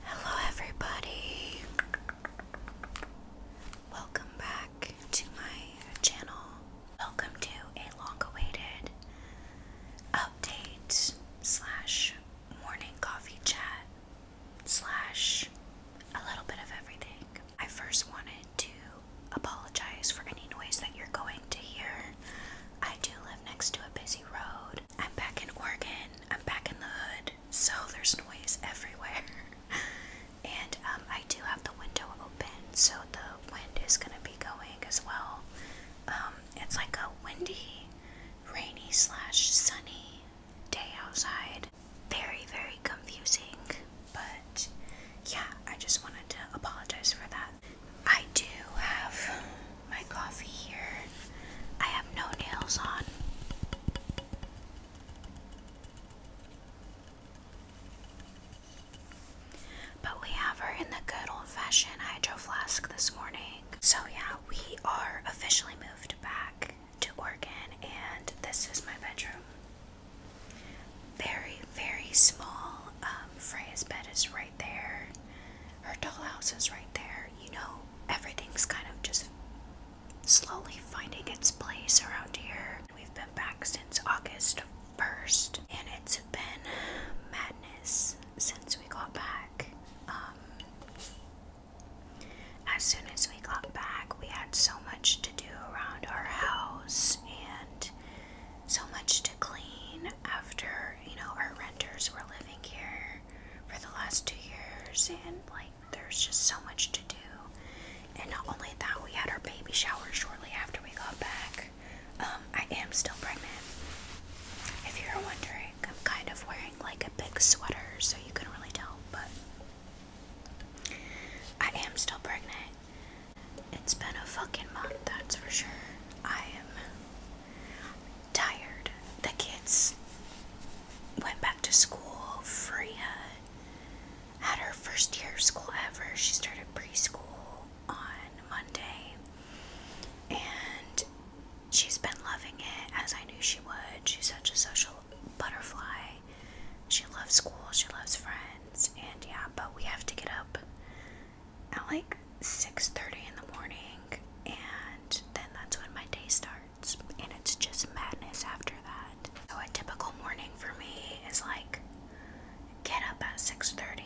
Hello, everybody. Welcome back to my channel. Welcome to a long-awaited update slash morning coffee chat slash a little bit of everything. I first wanted to apologize for any noise that you're going to hear. I do live next to a busy road. I'm back in Oregon. I'm back in the hood, so there's noise everywhere. and um, I do have the window open, so the wind is gonna be going as well. Um, it's like a windy, rainy slash sunny day outside. Very very confusing, but yeah, I just wanted to apologize for that. I do have my coffee here. I have no nails on. But we have her in the good old fashioned hydro flask this morning. So, yeah, we are officially moved back to Oregon, and this is my bedroom. Very, very small. Um, Freya's bed is right there. Her dollhouse is right there. You know, everything's kind of just slowly finding its place around here. We've been back since August 1st, and it's been madness since we got back. Um, as soon as we got back, we had so much to do around our house and so much to clean after, you know, our renters were living here for the last two years, and like there's just so much to do. And not only that, we had our baby shower shortly after we got back. Um, I am still pregnant. If you're wondering, I'm kind of wearing like a big sweater, so you can really tell, but I am still pregnant. It's been a fucking month, that's for sure. I am tired. The kids went back to school. Freya had her first year of school ever. She started preschool on Monday. And she's been loving it as I knew she would. She's such a social butterfly. She loves school, she loves friends, and yeah, but we have to get up at like 6:30 in the morning and then that's when my day starts and it's just madness after that. So a typical morning for me is like get up at 6:30,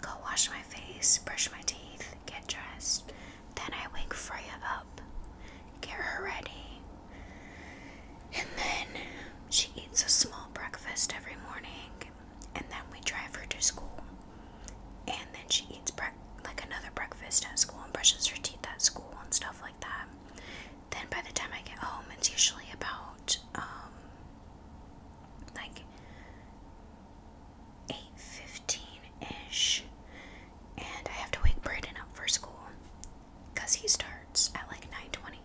go wash my face, brush my teeth, get dressed, then I wake Freya up, get her ready. And then she eats a small breakfast every morning and then we drive her to school and then she eats breakfast like another breakfast at school and brushes her teeth at school and stuff like that. Then by the time I get home, it's usually about um like 8:15ish and I have to wake Braden up for school cuz he starts at like 9:20.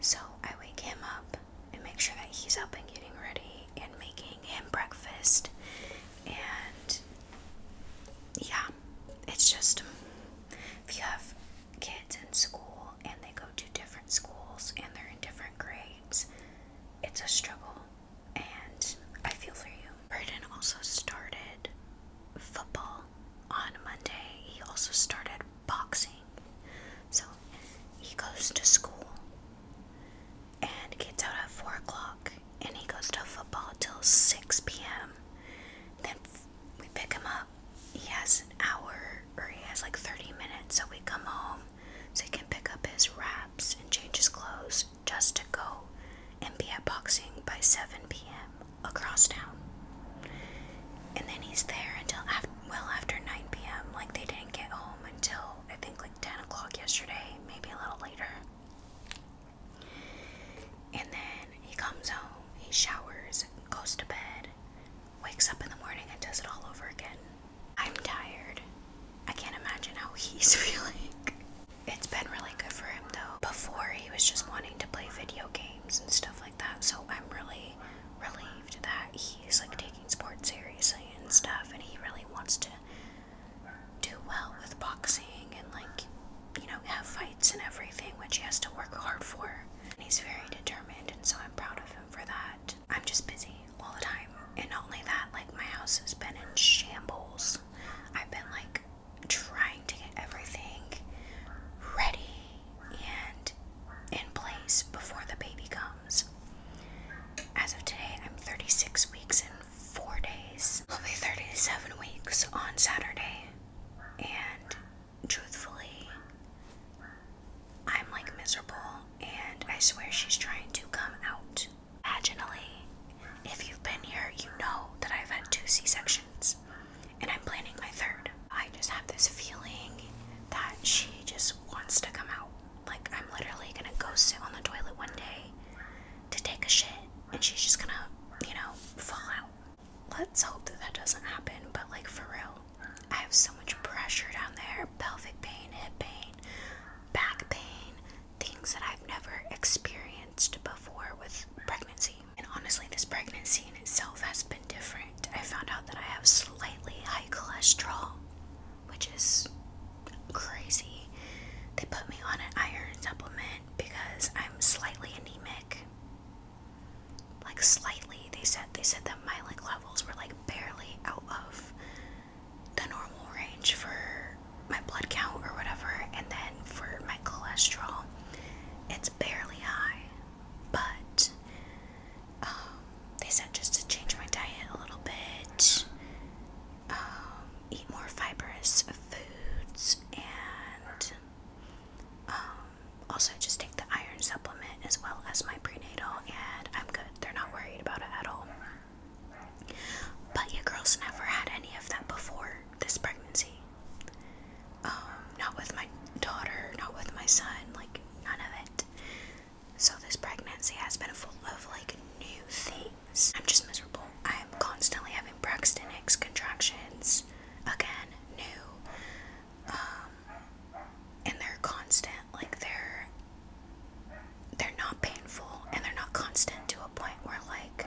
So I wake him up and make sure that he's up and getting ready and making him breakfast. And yeah, it's just if you have kids in school and they go to different schools and they're in different grades, it's a struggle. And I feel for you. Braden also started football on Monday. He also started boxing. So he goes to school and gets out at 4 o'clock and he goes to football till 6 p.m. Then we pick him up. He has an hour or he has like 30 minutes, so we come home so he can pick up his wraps and change his clothes just to go and be at boxing by 7 p.m. across town. And then he's there until after well after 9 p.m. Like they didn't get home until I think like 10 o'clock yesterday, maybe a little later. And then he comes home, he showers, goes to bed, wakes up in the morning, and does it all over again. I'm tired. I can't imagine how he's feeling. It's been really good for him though. Before he was just wanting to play video games and stuff like that, so I'm really relieved that he's like taking sports seriously and stuff, and he really wants to do well with boxing and like you know have fights and everything, which he has to work hard for. And he's very determined, and so I'm proud of him for that. I'm just busy all the time, and not only that, like my house has been in shambles. I've been like trying to get everything ready and in place before the baby comes. As of today, I'm 36 weeks and 4 days. I'll be 37 weeks on Saturday, and truthfully, I'm like miserable, and I swear she's trying to come out vaginally. If you've been here, you know that I've had two C C-sections and I'm planning my third. I just have this feeling that she just wants to come out. Like, I'm literally gonna go sit on the toilet one day to take a shit, and she's just gonna, you know, fall out. Let's hope that that doesn't happen, but like, for real, I have so much pressure down there pelvic pain, hip pain, back pain, things that I've never experienced before with pregnancy. And honestly, this pregnancy in itself has been different. I found out that I have slightly high cholesterol, which is crazy. They put me on an iron supplement because I'm slightly anemic. Like slightly. They said they said that my like levels were like barely out of the normal range for my blood count or whatever, and then for my cholesterol, it's barely high but um, they said just to change my diet a little bit, um, eat more fibrous foods, and um, also just take the iron supplement as well as my prenatal, and I'm good. They're not worried about it at all. But you girls never had any of that before this pregnancy. Um, not with my daughter, not with my son, like none of it. So this pregnancy has been full of like new things. I'm just miserable. I am constantly having Braxton Hicks contractions. Again, new. Um, and they're constant. Like they're they're not painful and they're not constant to a point where like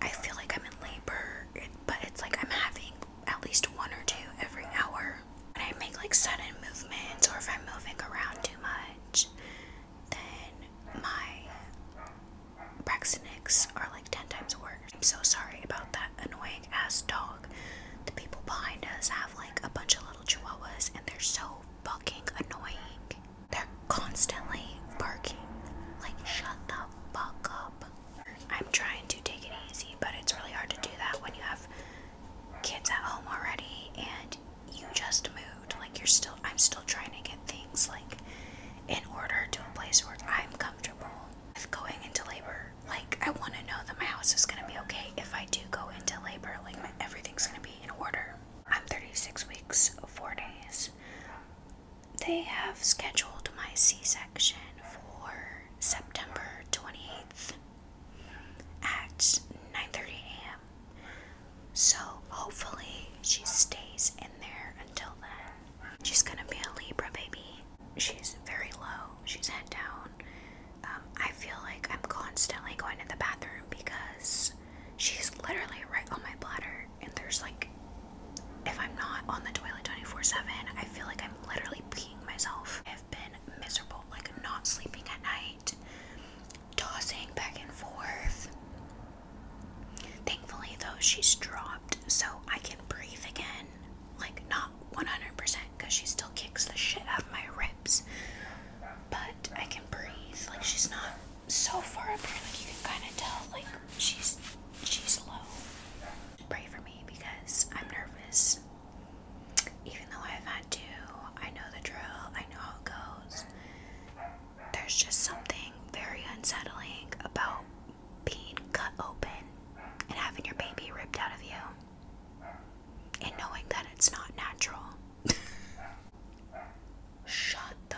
I feel like I'm in labor, but it's like I'm having at least one or two every hour. When I make like sudden movements or if I'm moving around too much, then my Braxinics are like 10 times worse. I'm so sorry about that annoying ass dog. The people behind us have like a bunch of little chihuahuas and they're so fucking annoying. They're constantly barking. Like, shut the fuck up. I'm trying to take it easy, but it's really hard to do that when you have kids at home already and you just moved. Like you're still I'm still trying to get things like in order to a place where I'm comfortable with going into labor. Like I want to know that my house is going to be okay if I do go into labor. Like everything's going to be in order. I'm 36 weeks, 4 days they have scheduled my C-section for September 28th at 9:30 a.m. So hopefully she stays in there until then. She's gonna be a Libra baby. She's very low. She's head down. Um, I feel like I'm constantly going to the bathroom because she's literally right on my bladder and there's like if I'm not on the toilet 24/7, I feel like I'm literally peeing myself. I've been miserable, like not sleeping at night, tossing back and forth. Thankfully though, she's dropped, so I can breathe again. Like not 100% because she still kicks the shit out of my ribs, but I can breathe. Like she's not so far up here, like you can kind of tell, like she's she's low. Pray for me because I'm nervous. Even though I've had two, I know the drill. I know how it goes. There's just something very unsettling about being cut open and having your baby ripped out of you, and knowing that it's not natural. Shut the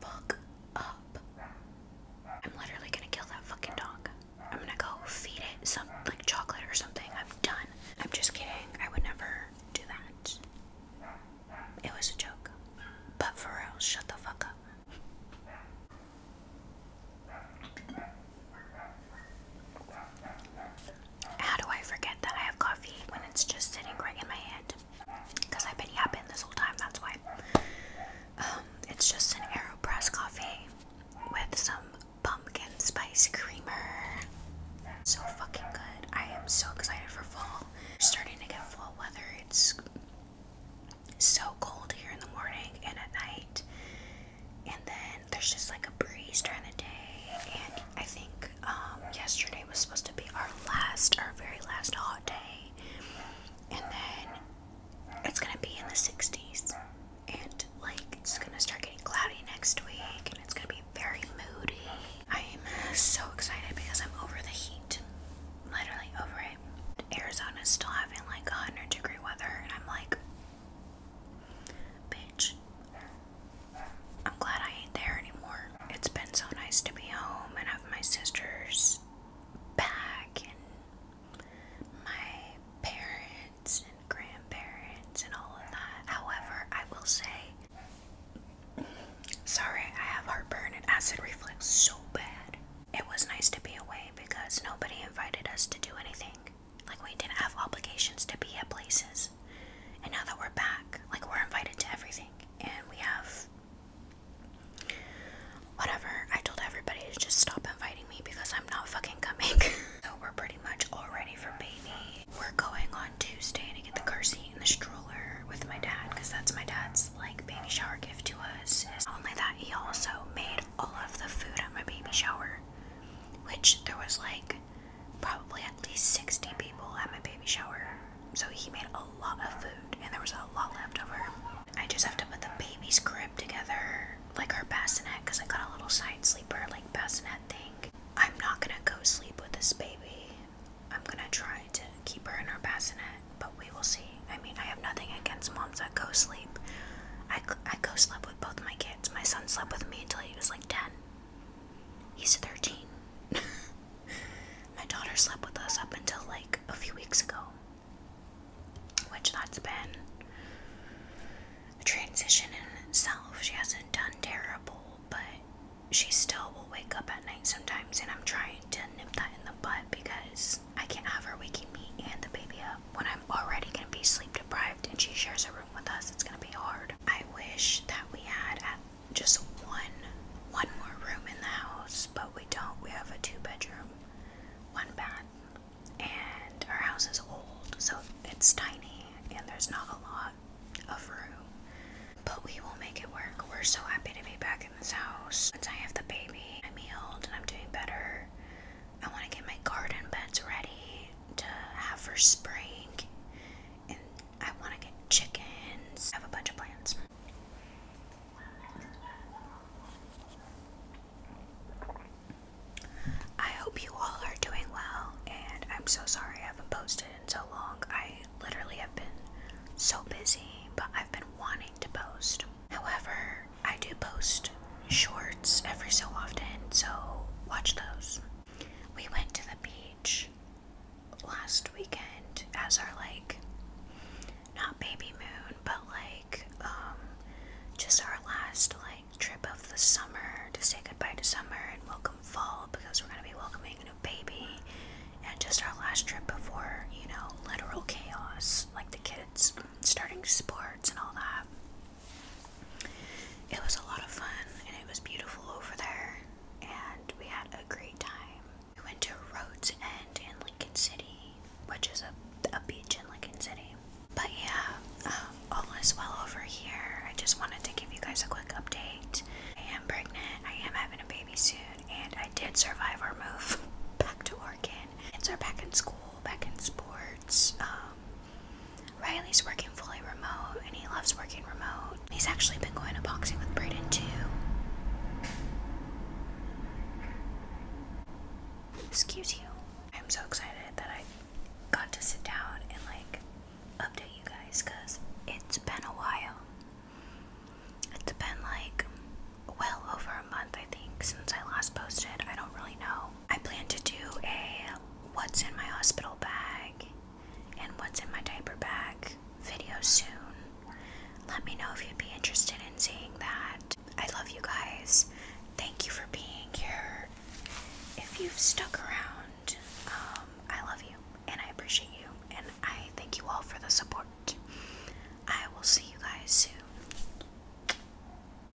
fuck up. I'm literally gonna kill that fucking dog. I'm gonna go feed it some like chocolate or something. I'm done. I'm just kidding. I would never do that. It was a joke. But for real, shut the fuck up. How do I forget that I have coffee when it's just sitting right in my hand? because I've been yapping this whole time, that's why. Um, it's just an AeroPress coffee with some pumpkin spice creamer. So fucking good. I am so excited for fall. starting to get fall weather. It's so cold here in the morning and at night. And then there's just like a breeze during the day, and I think um, yesterday was supposed to be our last, our very last hot day, and then it's gonna be in the 60s, and like it's gonna start getting cloudy next week, and it's gonna be very moody. I'm so excited because I'm over the heat, literally over it. Arizona's still having like a 100 degree weather, and I'm like, bitch, I'm glad I ain't there anymore. It's been so nice to be home and have my sisters back and my parents and grandparents and all of that. However, I will say, sorry, I have heartburn and acid reflux so bad. It was nice to be away because nobody invited us to do anything. Like, we didn't have obligations to be at places. And now that we're back, like we're invited to everything, and we have whatever. I told everybody to just stop inviting me because I'm not fucking coming. so we're pretty much all ready for baby. We're going on Tuesday to get the car seat and the stroller with my dad because that's my dad's like baby shower gift to us. Not only that, he also made all of the food at my baby shower, which there was like probably at least 60 people at my baby shower. So he made a lot of food and there was a lot left over. I just have to put the baby's crib together, like her bassinet, because I got a little side sleeper, like bassinet thing. I'm not gonna go sleep with this baby. I'm gonna try to keep her in her bassinet, but we will see. I mean, I have nothing against moms that go sleep. I, I co slept with both my kids. My son slept with me until he was like 10. He's 13. My daughter slept with us up until like a few weeks ago, which that's been a transition in itself. She hasn't done terrible, but she still will wake up at night sometimes, and I'm trying to nip that in the butt because I can't have her waking me and the baby up when I'm already gonna be sleep deprived and she shares a room. It's gonna be hard. I wish that we had just one one more room in the house, but we don't. We have a two bedroom, one bath, and our house is old, so it's tiny and there's not a lot of room. But we will make it work. We're so happy to be back in this house. Since I have the baby, I'm healed and I'm doing better. I want to get my garden beds ready to have for spring, and I want to get chickens. I have a bunch of plants. I hope you all are doing well, and I'm so sorry I haven't posted in so long. I literally have been so busy, but I've been wanting to post. However, I do post shorts every so often, so watch those. We went to the beach last weekend as our like not baby moon but like um, just our last like trip of the summer to say goodbye to summer and welcome fall because we're gonna be welcoming a new baby and just our last trip before you know literal chaos like the kids starting sports and all that it was a lot of fun and it was beautiful over there and we had a great time. We went to Rhodes End in Lincoln City, which is a, a beach in Lincoln City. But yeah, um, all is well over here. I just wanted to give you guys a quick update. I am pregnant, I am having a baby soon, and I did survive our move back to Oregon. Kids are back in school, back in sports. Um, Riley's working fully remote and he loves working remote. He's actually been going to boxing with Brayden too. Excuse you. I'm so excited that I got to sit down and like update you guys because it's been a while. It's been like well over a month, I think, since I last posted. I don't really know. I plan to do a what's in my hospital bag and what's in my diaper bag video soon. Let me know if you'd be interested in seeing that. I love you guys. Thank you for being here. If you've stuck around, um, I love you and I appreciate you and I thank you all for the support. I will see you guys soon.